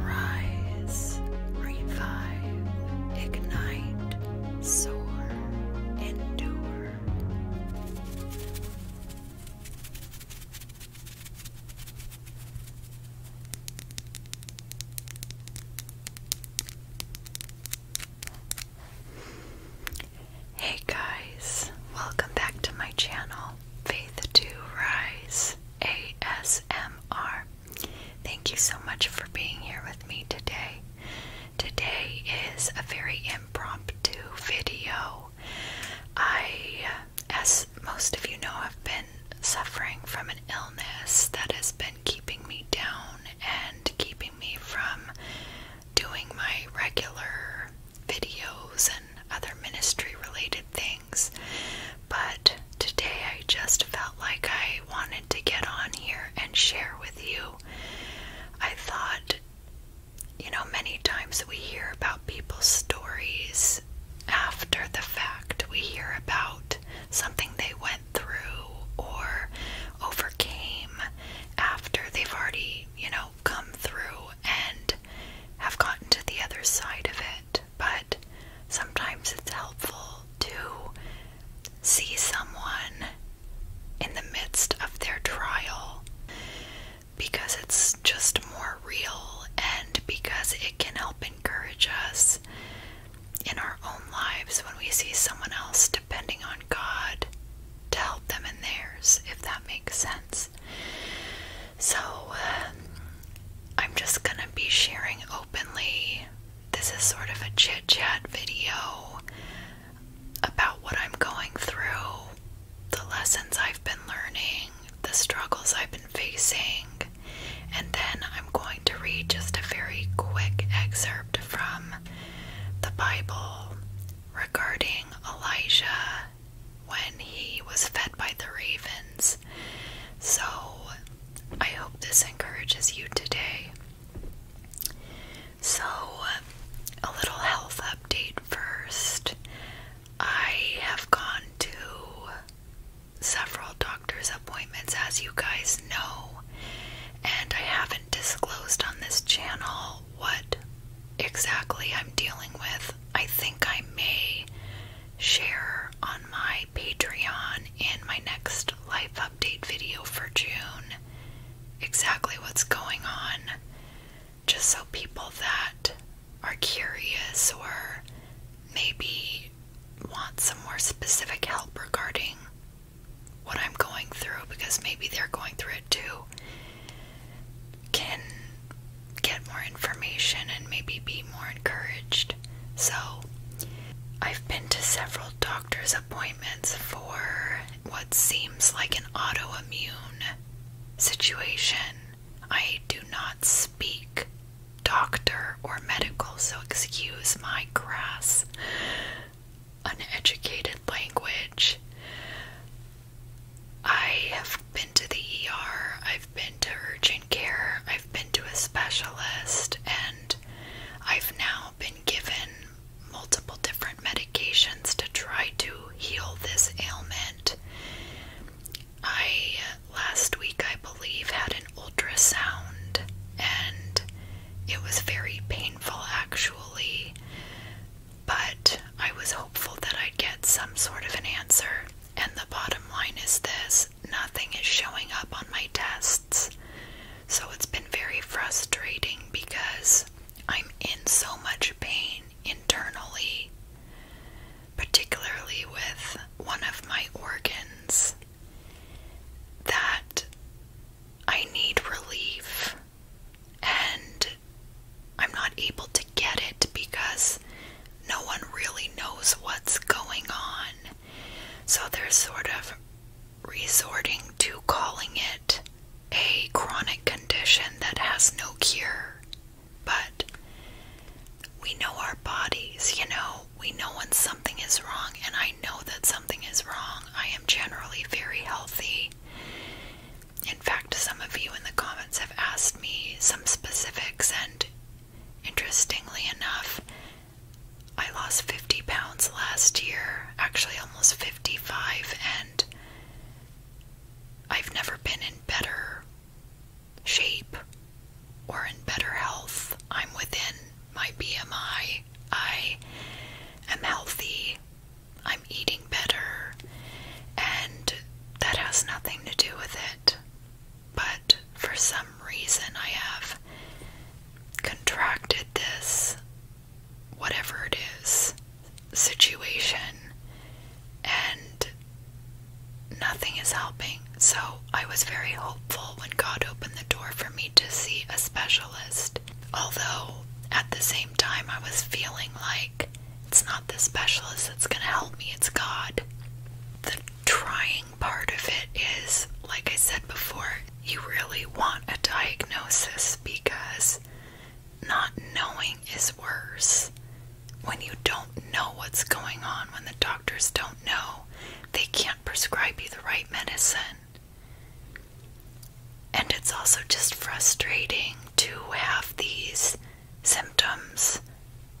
Rise, Hey guys, welcome back to my channel, Faith to Rise. ASMR. Thank you so much for being here with me today. Today is a very impromptu video. I, as most of you know, have been suffering from an illness that has been keeping me down and keeping me from doing my regular videos and other ministry related things. But today I just felt like I wanted to get on here and share with you. I thought, you know, many times we hear about people's stories after the fact. We hear about something they went through or overcame after they've already, you know, come through and have gotten to the other side of it. But sometimes it's helpful to see someone in the midst of their trial because it's just more real and because it can help encourage us in our own lives when we see someone else depending on God to help them in theirs, if that makes sense. So, uh, I'm just gonna be sharing openly. This is sort of a chit chat video about what I'm going through, the lessons I've been learning, the struggles I've been facing, and then I'm going to read just a very quick excerpt from the Bible regarding Elijah when he was fed by the ravens so I hope this encourages you today. So, a little health update first. I have gone to several doctor's appointments, as you guys know, and I haven't disclosed on this channel what exactly I'm dealing with. I think I may share on my Patreon and my next life update video for June exactly what's going on, just so people that are curious or maybe want some more specific help regarding what I'm going through because maybe they're going through it too can get more information and maybe be more encouraged. So, I've been to several doctor's appointments for what seems like an autoimmune situation. I do not speak doctor or medical, so excuse my crass, uneducated language. I have been to the ER, I've been to urgent skincare. I've been to a specialist and I've now been given multiple different medications to try to heal this ailment. I last week, I believe, had an ultrasound and it was very painful actually, but I was hopeful that I'd get some sort of an answer. And the bottom line is this nothing is showing up on my tests. So it's been very frustrating because I'm in so much pain internally, particularly with one of my organs, that I need relief and I'm not able to get it because no one really knows what's going on. So they're sort of resorting to calling it a chronic condition that has no cure. But we know our bodies, you know, we know when something is wrong, and I know that something is wrong. I am generally very healthy. In fact, some of you in the comments have asked me some specifics, and Interestingly enough, I lost 50 pounds last year, actually almost 55, and I've never been in better shape or in better health. I'm within my BMI. I am healthy. I'm eating better. And that has nothing to do with it but for some reason I have contracted this, whatever it is, situation, and nothing is helping. So I was very hopeful when God opened the door for me to see a specialist, although at the same time I was feeling like it's not the specialist that's going to help me, it's God. The trying part of it is, like I said before, you really want a diagnosis because not knowing is worse. When you don't know what's going on, when the doctors don't know, they can't prescribe you the right medicine. And it's also just frustrating to have these symptoms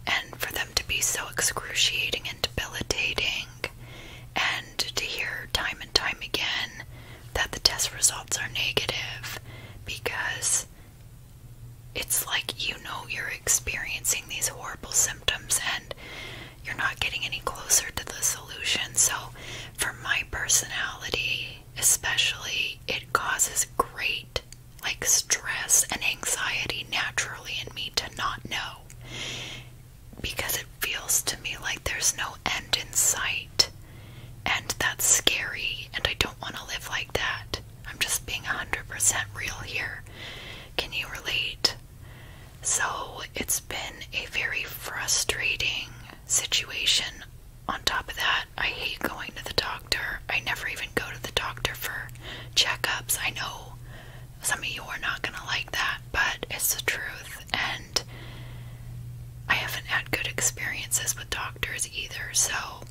and for them to be so excruciating and debilitating, and to hear time and time again that the test results are negative because it's like you know you're experiencing these horrible symptoms and you're not getting any closer to the solution. So, for my personality, especially, it causes great like stress and anxiety naturally in me to not know because it feels to me like there's no end in sight and that's scary and I don't want to live like that. I'm just being 100% real here. Can you relate? So, it's been a very frustrating situation. On top of that, I hate going to the doctor. I never even go to the doctor for checkups. I know some of you are not going to like that, but it's the truth. And I haven't had good experiences with doctors either, so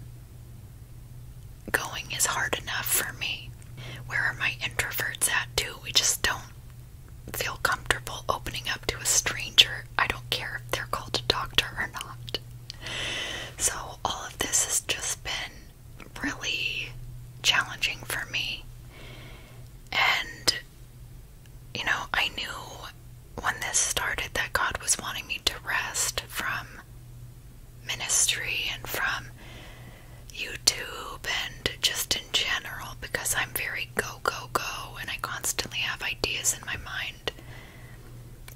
going is hard enough for me. Where are my introverts at, too? We just don't feel comfortable opening up to a stranger. I don't care if they're called a doctor or not. So, all of this has just been really challenging for me. And, you know, I knew when this started that God was wanting me to rest from ministry and from YouTube and just in general because I'm very go, go, go and I constantly have ideas in my mind.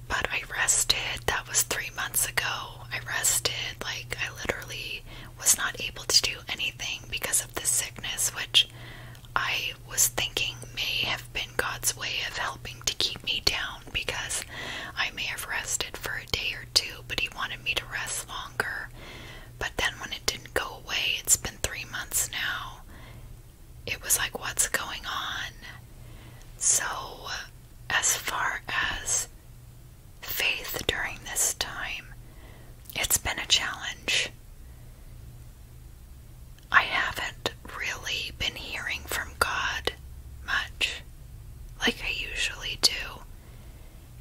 But I rested, that was three months ago, I rested. Like, I literally was not able to do anything because of this sickness, which I was thinking may have been God's way of helping to keep me down because I may have rested for a day or two, but He wanted me to rest longer. But then when it didn't go away, it's been three months now. It was like, what's going on? So as far as faith during this time, it's been a challenge. I haven't really been hearing from God much like I usually do.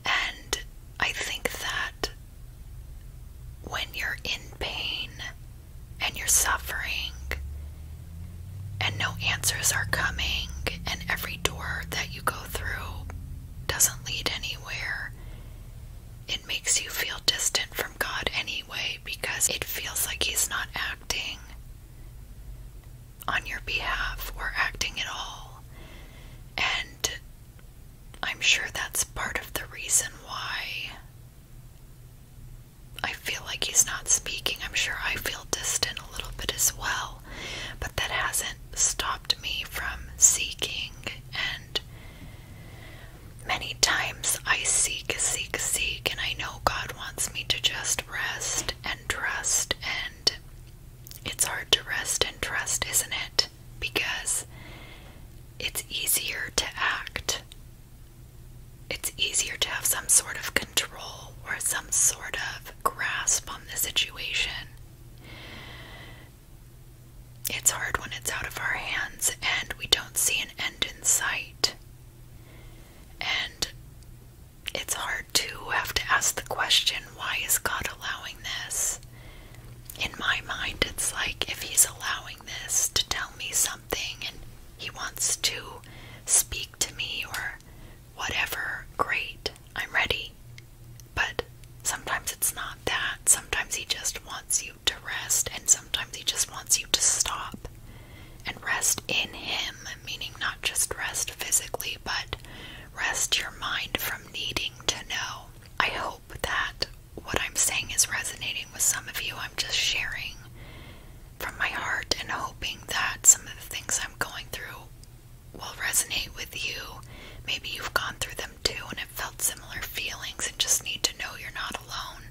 And I think that when you're in pain and you're suffering and no answers are coming, and every door that you go through doesn't lead anywhere, it makes you feel distant from God anyway because it feels like He's not acting on your behalf or acting at all. And I'm sure that's part of the reason why I feel like He's not speaking. I'm sure I feel distant a little bit as well, but that hasn't stopped me from seeking. And many times I seek, seek, seek, and I know God wants me to just rest and trust. And it's hard to rest and trust, isn't it? Because it's easier to act. It's easier to have some sort of control or some sort of grasp on the situation. It's hard when it's out of our hands and we don't see an end in sight. And it's hard to have to ask the question why is God allowing this? In my mind, it's like if He's allowing this to tell me something and He wants to speak to me or whatever, great. I'm ready. But sometimes it's not that. Sometimes he just wants you to rest, and sometimes he just wants you to stop and rest in him, meaning not just rest physically, but rest your mind from needing to know. I hope that what I'm saying is resonating with some of you. I'm just sharing from my heart and hoping that some of the things I'm going through will resonate with you. Maybe you've gone through them too and have felt similar feelings and just need to know you're not alone.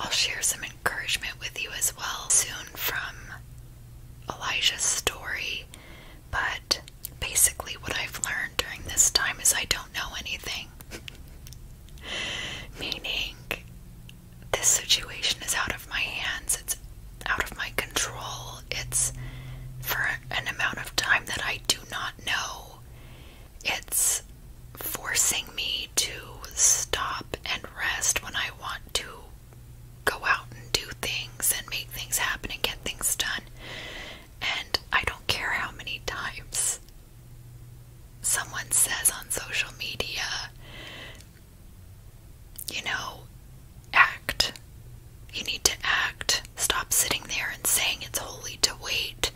I'll share some encouragement with you as well soon from Elijah's story, but basically, what I've learned during this time is I don't know anything. Meaning, this situation is out of my hands, it's out of my control. It's for an amount of time that I do not know. It's forcing me to stop and rest when I want to go out and do things and make things happen and get things done. And I don't care how many times someone says on social media you know, act. You need to act. Stop sitting there and saying it's holy to wait.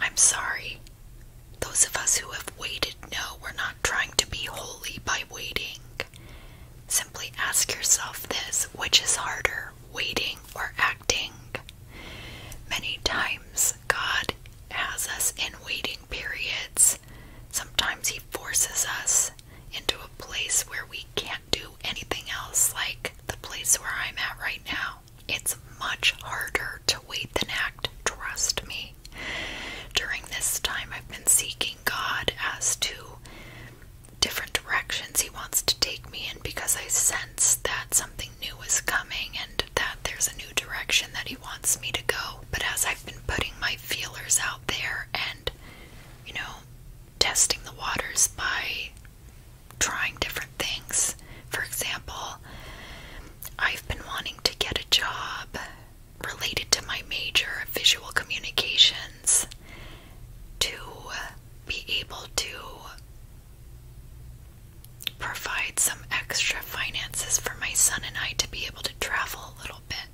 I'm sorry. Those of us who have waited know we're not trying to be holy by waiting. Simply ask yourself this which is harder, waiting or acting? Many times, God has us in waiting periods. Sometimes He forces us into a place where we can't do anything else, like the place where I'm at right now. It's much harder to wait than act, trust me. During this time, I've been seeking God as to different directions He wants to take me in because I sense that something new is coming and that there's a new direction that He wants me to go. But as I've been putting my feelers out there and you know testing the waters by trying different things. For example, I've been wanting to get a job related to my major, visual communications, to be able to provide some extra finances for my son and I to be able to travel a little bit.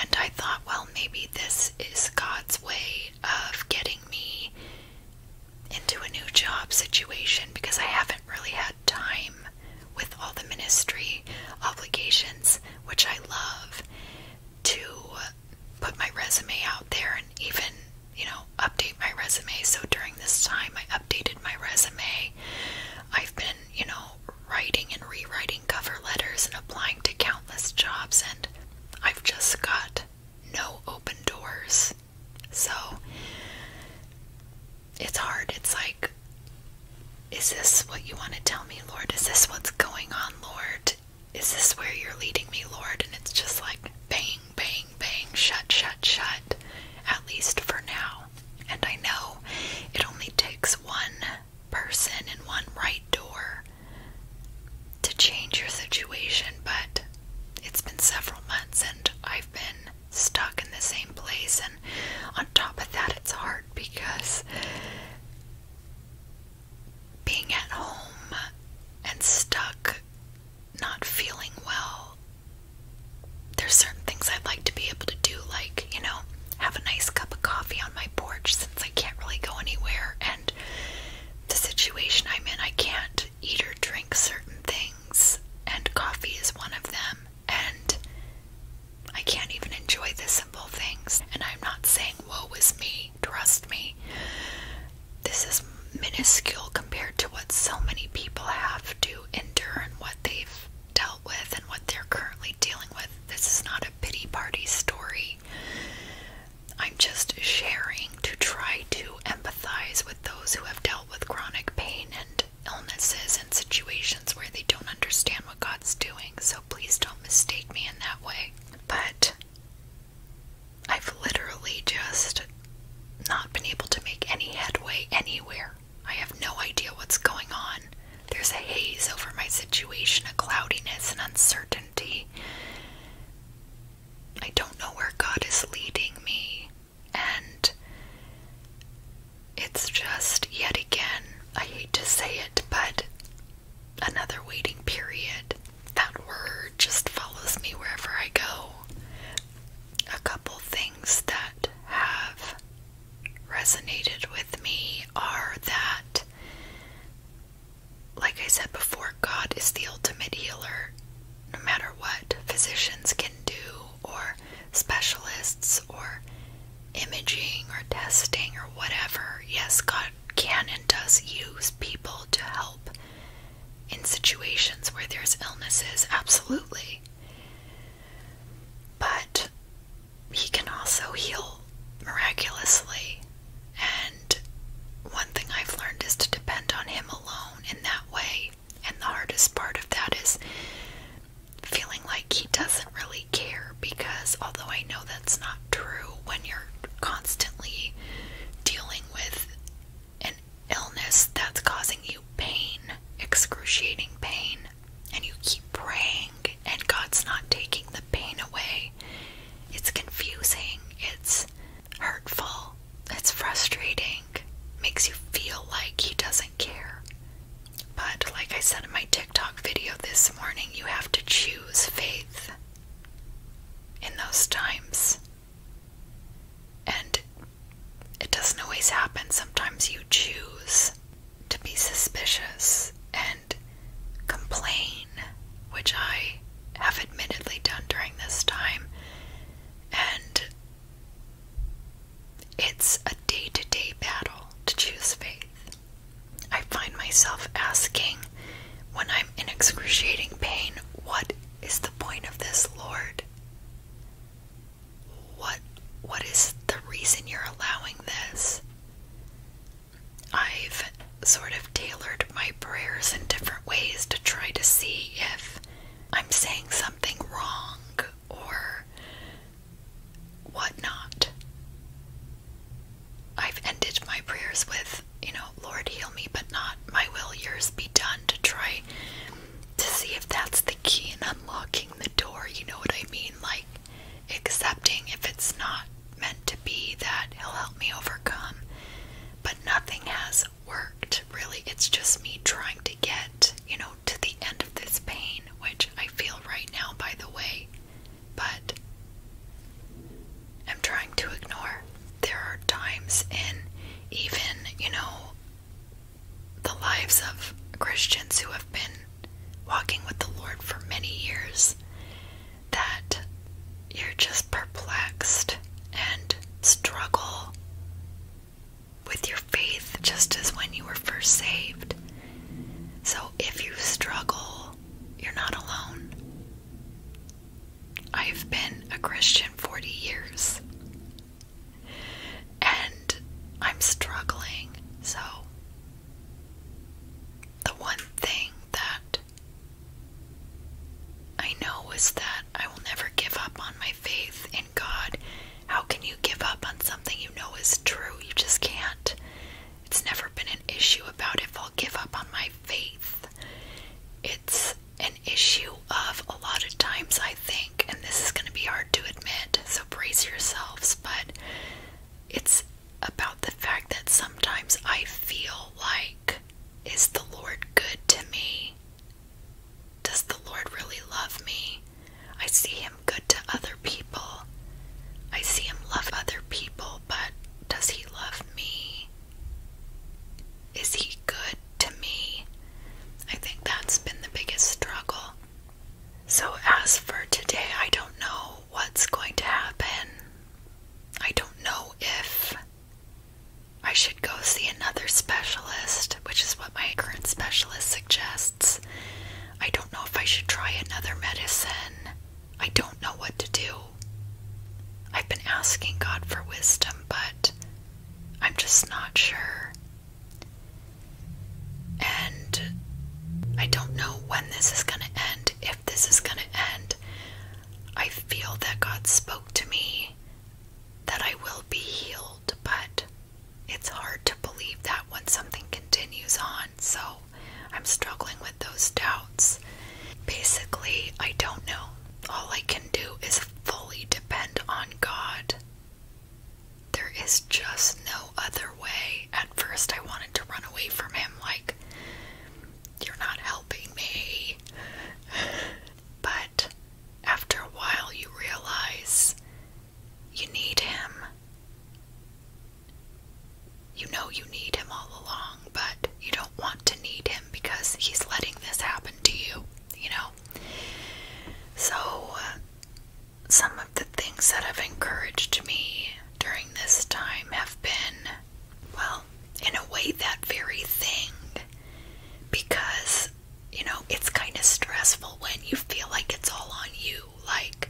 And I thought, well, maybe this is God's way of getting me into a new job situation because I haven't really had time with all the ministry obligations, which I love, to put my resume out there and even, you know, update my resume. So during this time, I updated my resume. I've been, you know, writing and rewriting cover letters and applying to countless jobs, and I've just got no open doors. So it's hard. It's like, is this what you want to tell me, Lord? Is this what's going on, Lord? Is this where you're leading me, Lord? And it's just like bang, bang, bang, shut, shut, shut, at least for now. And I know it only takes one person in one right door to change your situation, but it's been several months and I've been stuck in the same place. And on top of that, it's hard because being at home and stuck, not feeling well, there's certain things I'd like to be able to do, like, you know, have a nice cup of coffee on my porch since I can't really go anywhere and the situation I'm in, I can't eat or drink certain things, and coffee is one of them, and I can't even enjoy the simple things. And I'm not saying, woe is me, trust me. This is minuscule compared to what so many people have to endure and what they've dealt with and what they're currently dealing with. This is not a pity party story. I'm just sharing to try to empathize with those who have dealt with chronic pain and illnesses and situations where they don't understand what God's doing. So please don't mistake me in that way. But I've literally just not been able to make any headway anywhere. I have no idea what's going on. There's a haze over my situation, a cloudiness, and uncertainty. I don't know where God is leading me, and it's just yet again, I hate to say it, but another waiting period. That word just follows me wherever I go. A couple things that have resonated with me are that, like I said before, God is the ultimate healer. No matter what physicians can do, or specialists, or imaging, or testing, or whatever, yes, God can and does use people to help in situations where there's illnesses, absolutely. But he can also heal miraculously. And one thing I've learned is to depend on him alone in that way. And the hardest part of that is feeling like he doesn't really care because, although I know that's not true, when you're constantly dealing with an illness that's causing you pain, excruciating pain, and you keep praying and God's not taking the pain away, it's confusing, it's hurtful, it's frustrating, makes you feel like He doesn't care. But like I said in my TikTok video this morning, you have to choose faith in those times. And it doesn't always happen. Sometimes you choose to be suspicious and complain, which I have admittedly done during this time. And it's a day to day battle to choose faith. I find myself asking when I'm in excruciating pain, what is the point of this, Lord? What what is the reason you're allowing this? I've sort of tailored my prayers in different ways to try to see if I'm saying something wrong or whatnot. I've ended my prayers with, you know, Lord, heal me, but not my will, yours be done, to try to see if that's the key in unlocking the door. You know what I mean? Like, accepting if it's not meant to be that he'll help me overcome. But nothing has worked, really. It's just me trying to get, you know, to the end of this pain, which I feel right now, by the way. But I'm trying to ignore. There are times in even, you know, the lives of Christians who have been walking with the Lord for many years that you're just perplexed and struggle with your faith just as when you were first saved. So if you struggle, you're not alone. I've been a Christian 40 years and I'm struggling, so the one thing that I know is that I will never give up on my faith in God. How can you give up on something you know is true? You just can't. It's never been an issue about if I'll give up on my faith. It's an issue of a lot of times, I think, and this is going to be hard to admit, so brace yourselves, but it's about the fact that sometimes I feel like, is the Lord good to me? Does the Lord really love me? I see Him good to other people. I see Him love other people, but does He love me? Is He good to me? I think that's been the biggest struggle. So, as for today, I don't know what's going to happen. I don't know if I should go see another specialist, which is what my current specialist suggests. I don't know if I should try another medicine. I don't know what to do. I've been asking God for wisdom, but I'm just not sure. And I don't know when this is going to end, if this is going to end. I feel that God spoke to me that I will be healed, but it's hard to believe that when something continues on. So I'm struggling with those doubts. Basically, I don't know. All I can do is fully depend on God. There is just no other way. At first, I wanted to run away from him, like, you're not helping me. But after a while, you realize you need him. You know you need him all along, but you don't want to need him because he's letting this happen to you, you know? So, uh, some of the things that have encouraged me during this time have been, well, in a way, that very thing. Because, you know, it's kind of stressful when you feel like it's all on you. Like,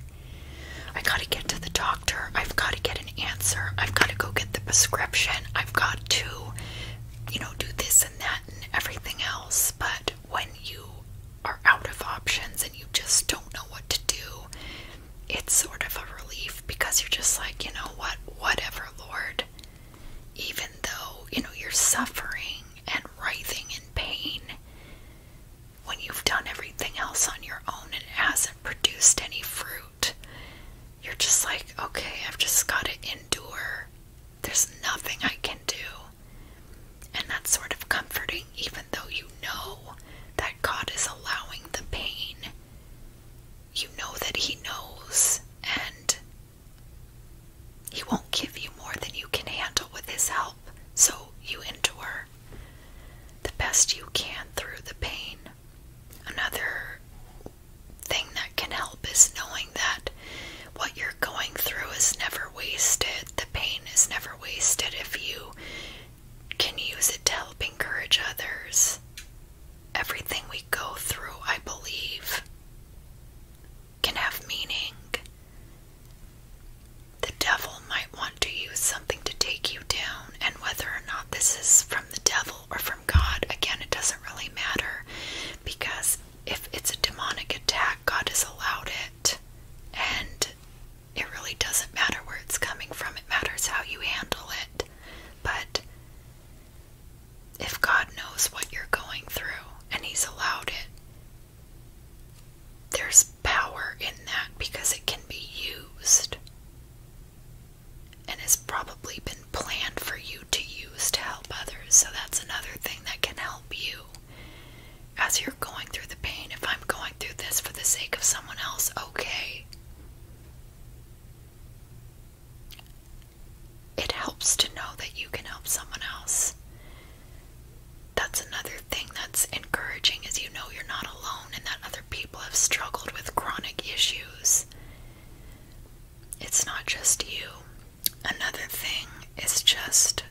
I gotta get to the doctor, I've gotta get an answer, I've gotta go get the prescription, I've got to, you know, do this and that and everything else. But when you are out of options and you just don't know what to do, it's sort of a relief because you're just like, you know what, whatever, Lord. Even though, you know, you're suffering and writhing in pain when you've done everything else on your own and it hasn't produced any fruit, you're just like, okay, I've just got to endure. There's nothing I can do. And that's sort of comforting even though you know that God is allowing the pain. You know that He knows, and He won't give you more than you can handle with His help, so you endure the best you can through the pain. Another thing that can help is knowing that what you're going through is never wasted. The pain is never wasted if you can use it to help encourage others. Everything we go through, I believe, can have meaning. The devil might want to use something to take you down, and whether or not this is from the devil or from God, again, it doesn't really matter because if it's a demonic attack, God has allowed it, and it really doesn't matter where it's coming from, it matters how you handle it. But if God knows what you're going through and He's allowed it, there's power in that because it can be used and it's probably been planned for you to use to help others. So that's another thing that can help you as you're going through the pain. If I'm going going through this for the sake of someone else, okay? It helps to know that you can help someone else. That's another thing that's encouraging is you know you're not alone and that other people have struggled with chronic issues. It's not just you. Another thing it's just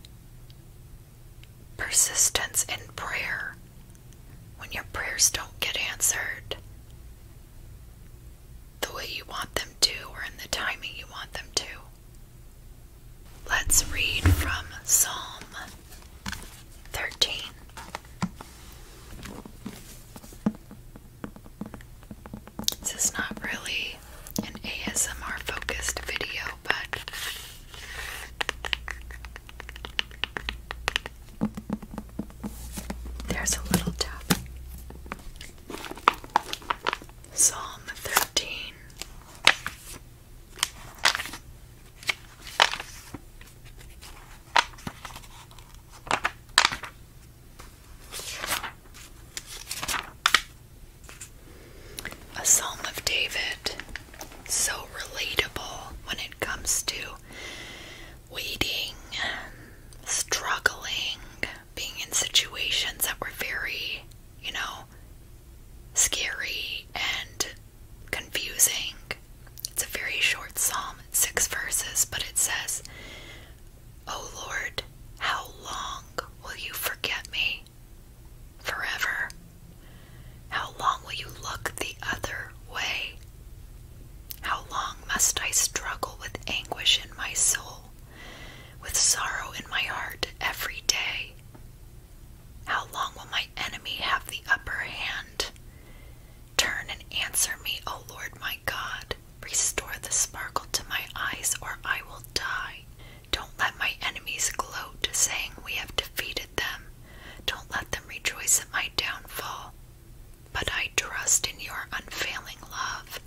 persistence in prayer when your prayers don't get answered the way you want them to or in the timing you want them to. Let's read from Psalm 13. This is not really an ASMR focused video, but there's a little tap. Psalm 13. A Psalm of David so relatable when it comes to waiting, um, struggling, being in situations that were very, you know, scary and confusing. It's a very short psalm, six verses, but it says, O oh Lord, how long will you forget me? Forever how long will you look the other way? How long must I struggle with anguish in my soul, with sorrow in my heart every day? How long will my enemy have the upper hand? Turn and answer me, O Lord my God. Restore the sparkle to my eyes, or I will die. Don't let my enemies gloat, saying, We have defeated them. Don't let them rejoice at my downfall. But I trust in your unfailing love.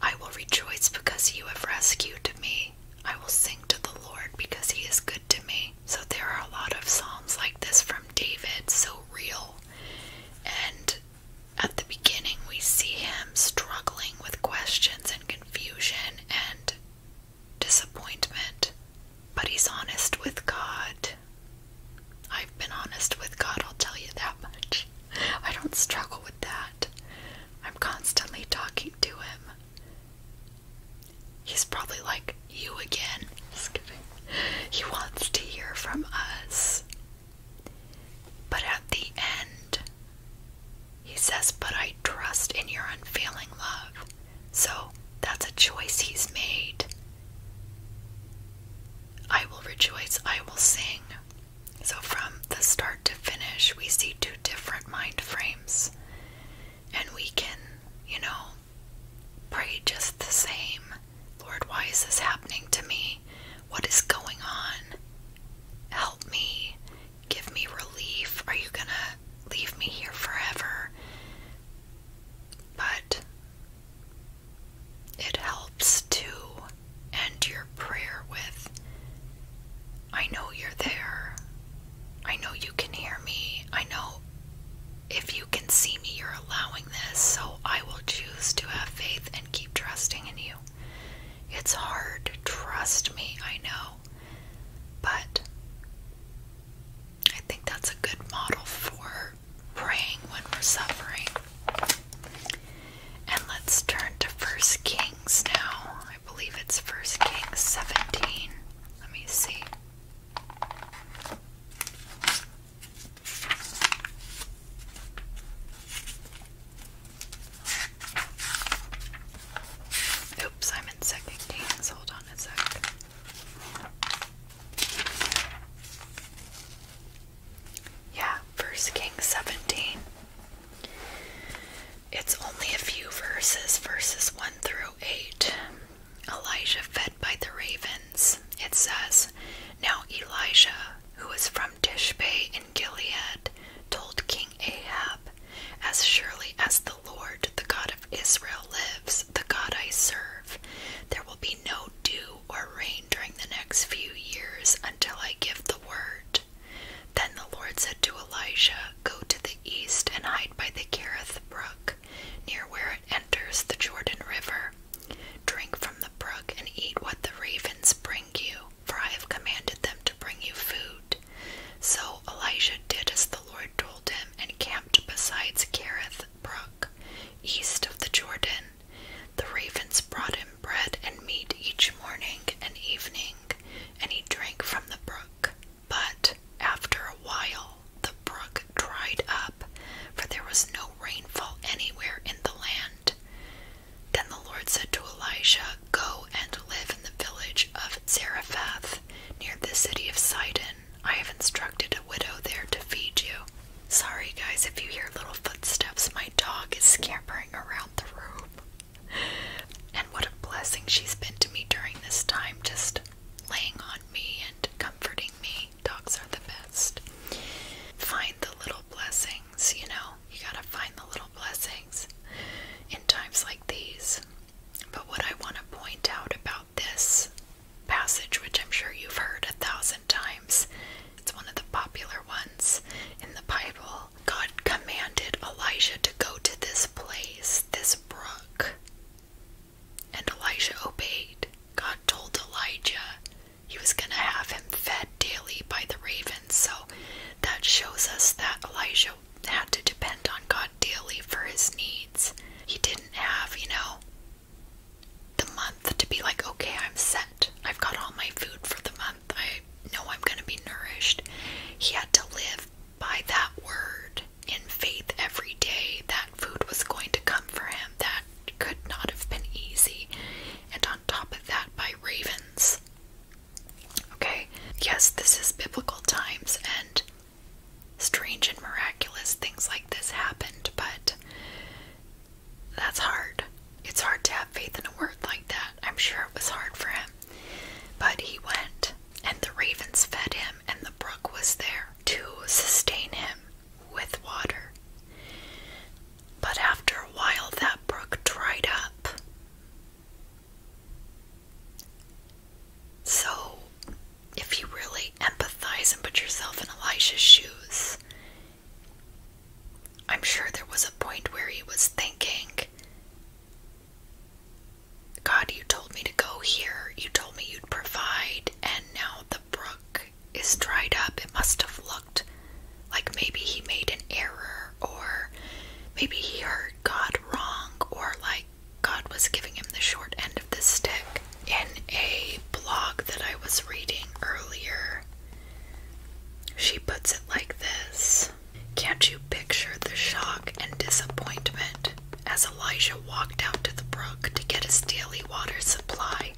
I will rejoice because you have rescued me. I will sing to the Lord because he is good to me. So there are a lot of psalms like this from David, so real. And at the beginning, we see him struggling with questions and confusion and disappointment, but he's honest with God. I've been honest with God, I'll tell you that much. I don't struggle with that. I'm constantly talking to him. He's probably like, You again. He wants to hear from us. But at the end, he says, But I trust in your unfailing love. So that's a choice he's made. I will rejoice, I will sing. So from the start to finish, we see two different mind frames. And we can, you know, pray just the same. Lord, why is this happening to me? What is going on? Help me. Give me relief. Are you going to leave me here forever? But it helps to end your prayer with I know you're there. I know you can hear me. I know if you can see me, you're allowing this. So I will choose to have faith and keep trusting in you. It's hard. Trust me, I know. But I think that's a good model for praying when we're suffering. And let's turn to First Kings now. I believe it's First Kings 17. Let me see. Oops, I'm in Second Kings. Hold on a sec. Yeah, First Kings 17. It's only a few verses, verses 1 through 8. Elijah fed by the ravens. It says, Now Elijah, who was from Tishbe in Gilead, told King Ahab, As surely as the the Lord, the God of Israel, lives, the God I serve. There will be no dew or rain during the next few years until I give the word. Then the Lord said to Elijah, Go to the east and hide by the Kerith brook, near where it enters the Jordan River. Drink from the brook and eat what the ravens bring you, for I have commanded them to bring you food. So Elijah did as the Lord told and camped beside Kerith Brook, east of the Jordan. The ravens brought him bread and meat each morning and evening, and he drank from the brook. But after a while, the brook dried up, for there was no rainfall anywhere in the land. Then the Lord said to Elijah, Go and live in the village of Zarephath, near the city of Sidon, I have instructed a widow there to feed you. Sorry, guys, if you hear little footsteps, my dog is scampering around the room. And what a blessing she's been to me during this time, just laying on me and comforting me. Dogs are the best. Find the little blessings, you know? You gotta find the little blessings in times like these. But what I want to point out about this passage, which I'm sure you've heard a thousand times. It's one of the popular ones in the Bible. God commanded Elijah to go to this place, this brook. And Elijah obeyed. God told Elijah he was going to have him fed daily by the ravens. So that shows us that Elijah had to depend on God daily for his needs. He didn't have, you know, the month to be like, okay, I'm set. I've got all my food for the month. I know I'm going to be nourished. He had to live by that word in faith every day that food was going to come for him. That could not have been easy. And on top of that, by ravens. Okay, yes, this is biblical times, and strange and miraculous things like this happened, but that's hard. It's hard to have faith in a word like that. I'm sure it was hard for him. But he went, and the ravens fed him, and the brook was there to sustain him with water. But after a while, that brook dried up. So if you really empathize and put yourself in Elisha's shoes, I'm sure there was a point where he was thinking, God, you told me to go here, you told me you'd provide, and now the brook is dried up. It must have looked like maybe he made an error, or maybe he heard God wrong, or like God was giving him the short end of the stick. In a blog that I was reading earlier, she puts it like this Can't you picture the shock and disappointment as Elijah walked out to the brook to get his daily water supply?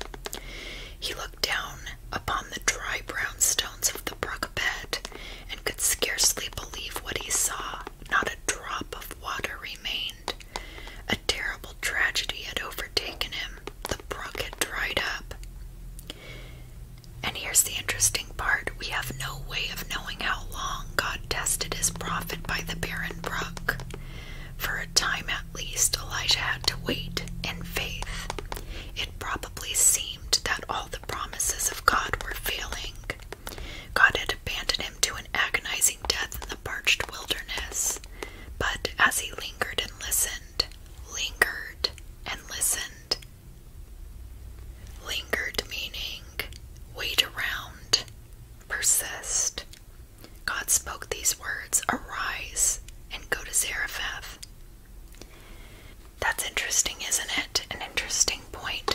He looked down upon the dry brown stones of the brook bed and could scarcely believe what he saw not a drop of water remained. A terrible tragedy had overtaken him. The brook had dried up. And here's the interesting part we have no way of knowing how long God tested his prophet by the barren brook. For a time at least, Elijah had to wait in faith. It probably seemed that all the promises of God were failing. God had abandoned him to an agonizing death in the parched wilderness. But as he lingered and listened, lingered and listened, lingered meaning wait around, persist. God spoke these words arise and go to Zarephath. That's interesting, isn't it? An interesting point.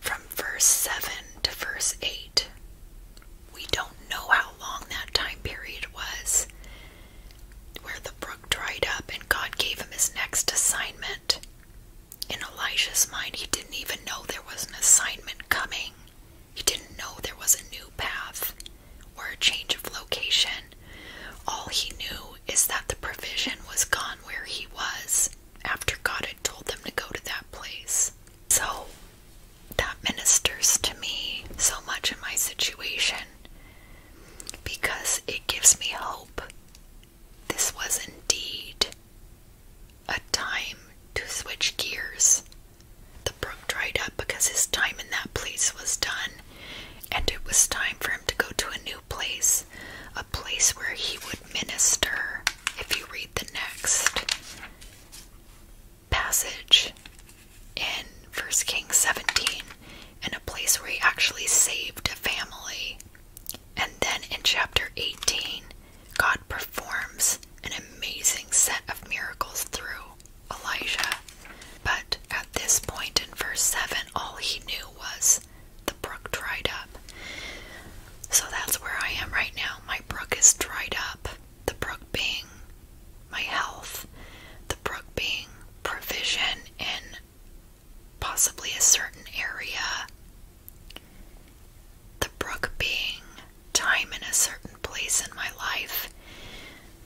From verse 7 to verse 8, we don't know how long that time period was where the brook dried up and God gave him his next assignment. In Elijah's mind, he didn't even know there was an assignment coming. He didn't know there was a new path or a change of location. All he knew is that the provision was gone where he was after God had told them to go to that place. So that ministers to me so much in my situation because it gives me hope. This was indeed a time to switch gears. The brook dried up because his time in that place was done, and it was time for him to go to a new place, a place where he would minister. If you read the next passage in First Kings 17 and a place where he actually saved a family. And then in chapter 18, God performs an amazing set of miracles through Elijah. But at this point in verse 7, all he knew was the brook dried up. So that's where I am right now. My brook is dried up. The brook being my health, the brook being provision in possibly a certain area, the brook being time in a certain place in my life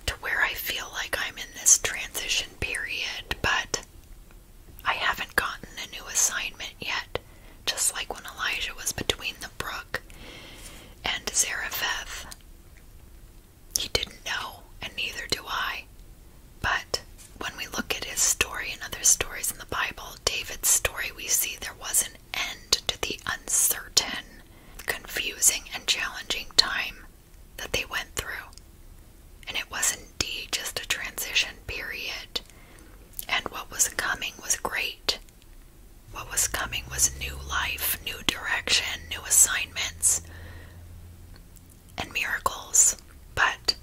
to where I feel like I'm in this transition period, but I haven't gotten a new assignment yet just like when Elijah was between the brook and Zarephath. He didn't know, and neither do I. But when we look at his story and other stories in the Bible, David's story, we see there was an end to the uncertain, confusing, and challenging time that they went through. And it was indeed just a transition period. And what was coming was great. What was coming was new life, new direction, new assignments, and miracles. But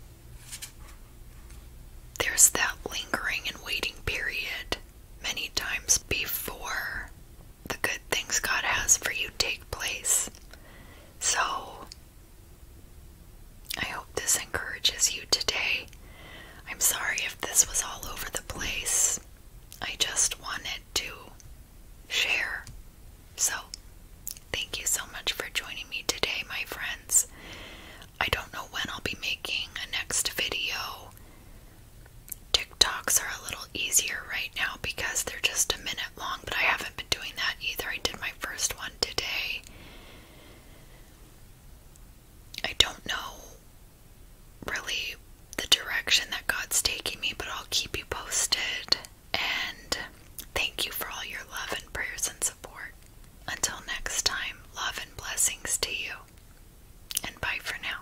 there's that lingering and waiting period many times before the good things God has for you take place. So I hope this encourages you today I'm sorry if this was all over the place. I just wanted to share. So, thank you so much for joining me today, my friends. I don't know when I'll be making a next video. TikToks are a little easier right now because they're just a minute long, but I haven't been doing that either. I did my first one today. I don't know really the direction that God's taking me, but I'll keep you posted. And thank you for all your love and prayers and support. Until next time, love and blessings to you. And bye for now.